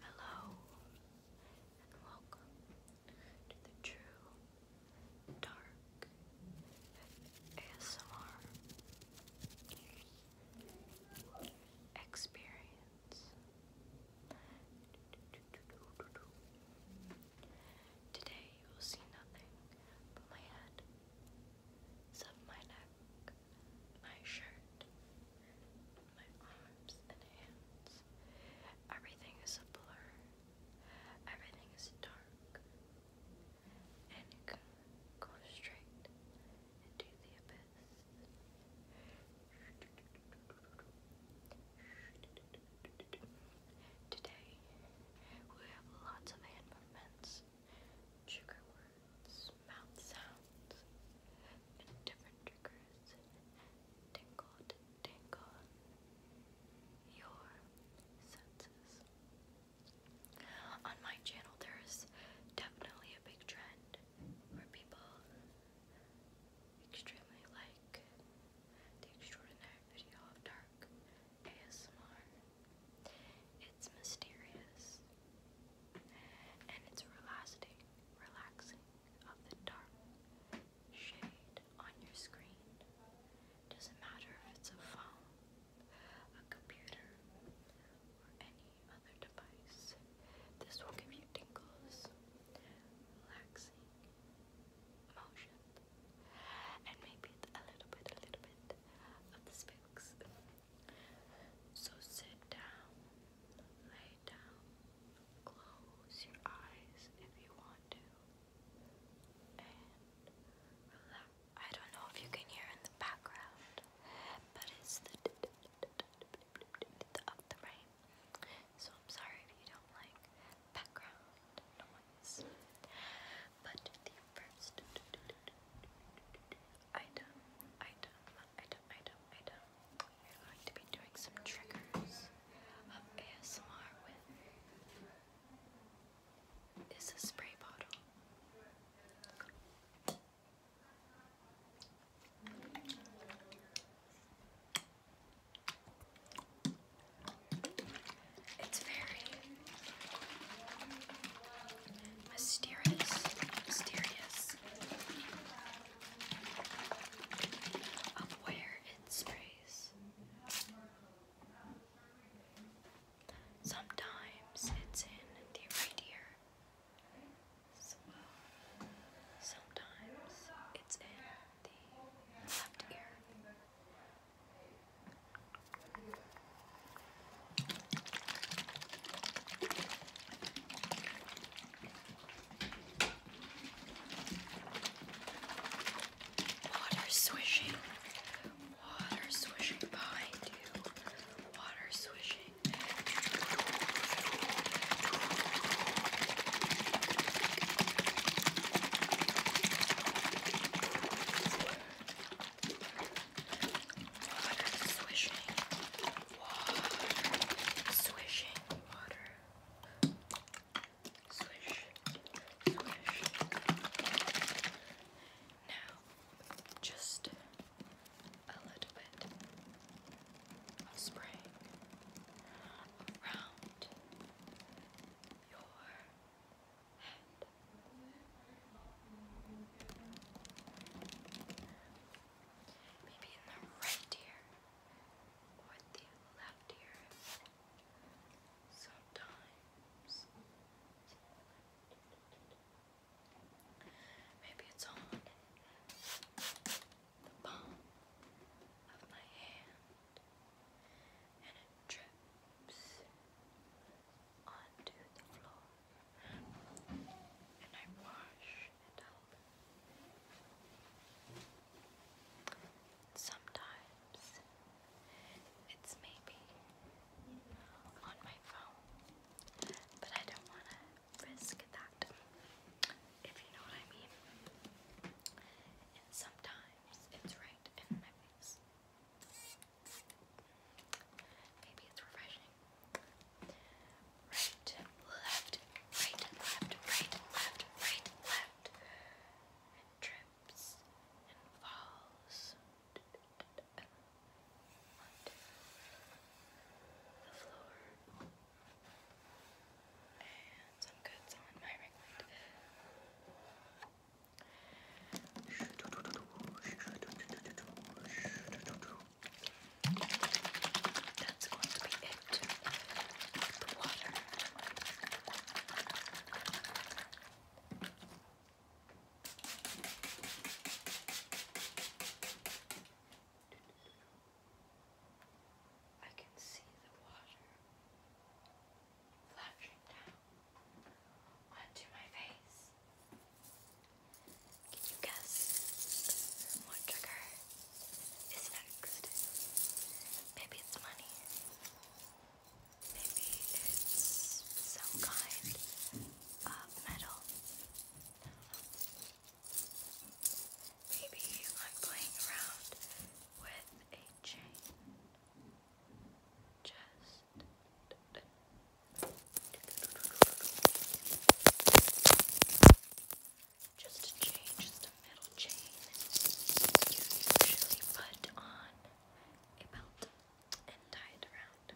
Hello and welcome to the True Dark ASMR experience. Today you will see nothing but my head, some my neck, my shirt, my arms and hands. Everything is a blur. Everything is dark. And it goes straight into the abyss. Today, we have lots of hand movements, trigger words, mouth sounds, on my channel, there's definitely a big trend where people extremely like the extraordinary video of dark ASMR. It's mysterious. And it's relaxing, relaxing of the dark shade on your screen. Doesn't matter if it's a phone, a computer, or any other device. This will give you tingles, relaxing emotions, and maybe a little bit, a little bit of the spooks. So sit down, lay down, close your eyes if you want to, and relax. I don't know if you can hear in the background, but it's the of the rain. So I'm sorry if you don't like background noise. But first item, item, item, item, item. We're going to be doing some triggers of ASMR with is spray bottle. It's very Mysterious. Mysterious. Of where it sprays. Sometimes it's in the right ear. sometimes it's in the left ear. Water swishing, water swishing behind you, water swishing. Water swishing. Water swishing. Water. Swish. Swish. Now, just a little bit of spray around your head. Maybe in the right ear or the left ear. Sometimes. Maybe it's on the palm of my hand and it drips onto the floor and I wash Sometimes it's maybe on my phone, but I don't want to risk that, if you know what I mean. And sometimes it's right in my face. Maybe it's refreshing. Right, left, right, left, right, left, right, left. And trips and falls. Onto the floor. And some goods on my right. That's going to be it the water. I can see the water flashing down onto my face. Can you guess what trigger is next? Maybe it's money. Maybe it's some kind of metal. Maybe I'm playing around with a chain. Just. Just a chain, just a metal chain. You usually put on a belt and tie it around.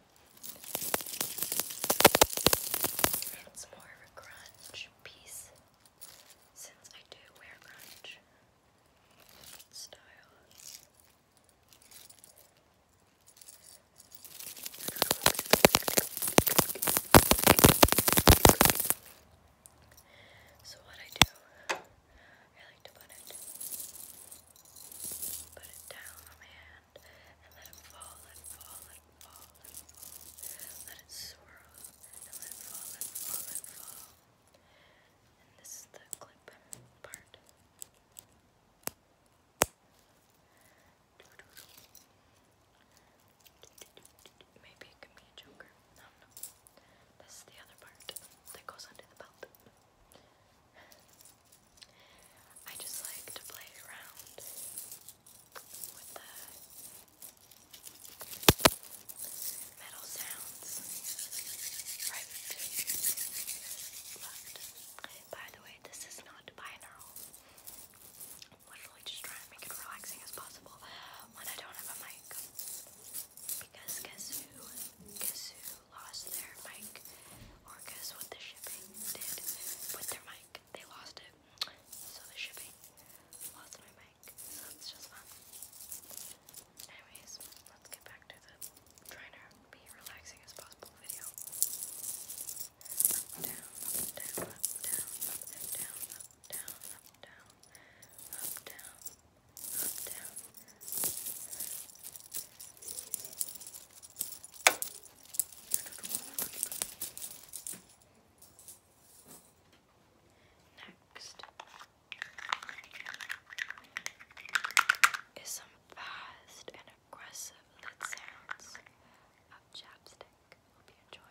It's more of a grunge piece since I do wear grunge style. So what I do, I like to put it, put it down on my hand and let it fall, let it fall, let it fall, let it fall, let it swirl and let it fall, let it fall, let it fall. And this is the clip part. Maybe it could be a joker. No, no. This is the other part that goes under the belt. I just like to play around with the metal sounds. Right, by the way, this is not binaural. I'm literally just trying to make it relaxing as possible when I don't have a mic. Because guess who? Guess who lost their mic? Or guess what the shipping did with their mic? They lost it. So the shipping lost my mic. So it's just fun. Anyways, let's get back to the trainer be relaxing as possible video. Up, down, up, down, up, down, up, down, up, down, up, down, up, down, Next is some fast aggressive lid sounds of chapstick. Hope you enjoy.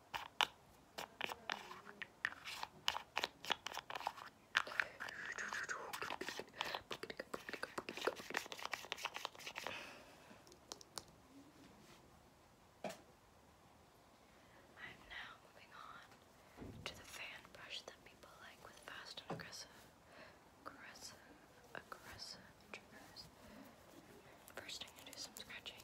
I'm now moving on to the fan brush that people like with fast and aggressive, aggressive, aggressive triggers. First, I'm gonna do some scratching.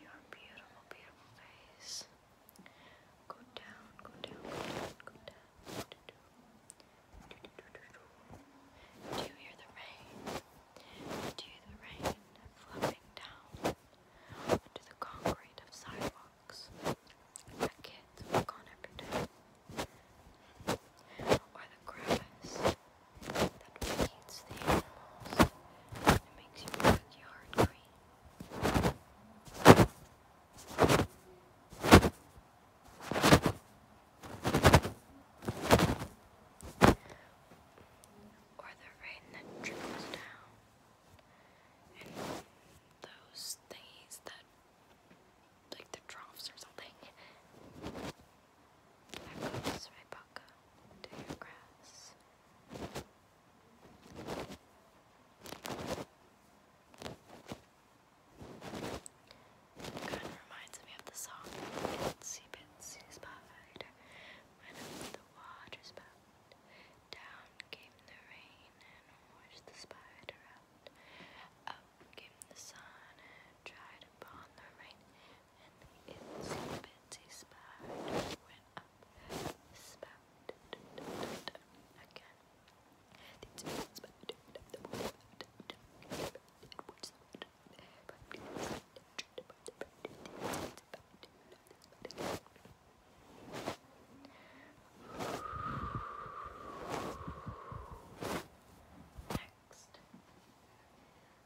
your beautiful, beautiful face. Go down, go down, go down, go down. Do, you hear the rain? Do you hear the rain flooding down onto the concrete of sidewalks? The kids walk on every day. Or the grass that feeds the animals and makes your backyard green. Or the rain that trickles down, and those things that, like the troughs or something, I rose Rebecca to your grass. Kind of reminds me of the song Itsy Bitsy Spider went up the water spout. Down came the rain and washed the spider out. Up came the sun and dried upon the rain and itsy bitsy spider went up the spout. Again, the itsy bitsy spider went up the spout.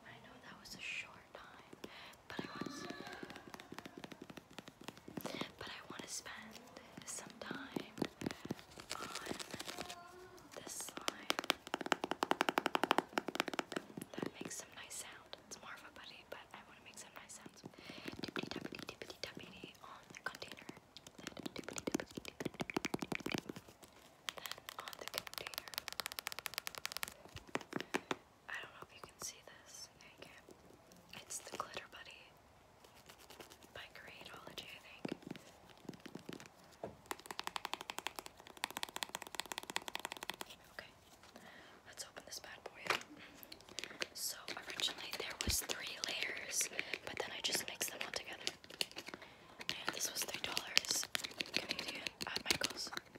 I know that was a short time, but I want but I want to spend some time on this slime. That makes some nice sound. It's more of a buddy, but I want to make some nice sounds. Dippity dippity dippity dippity on the container then on the container. I don't know if you can see this. you can. It's the Glitter Buddy by Creatology, I think. Okay, let's open this bad boy So originally there was three layers, but then I just mixed them all together. And this was three dollars Canadian at Michael's.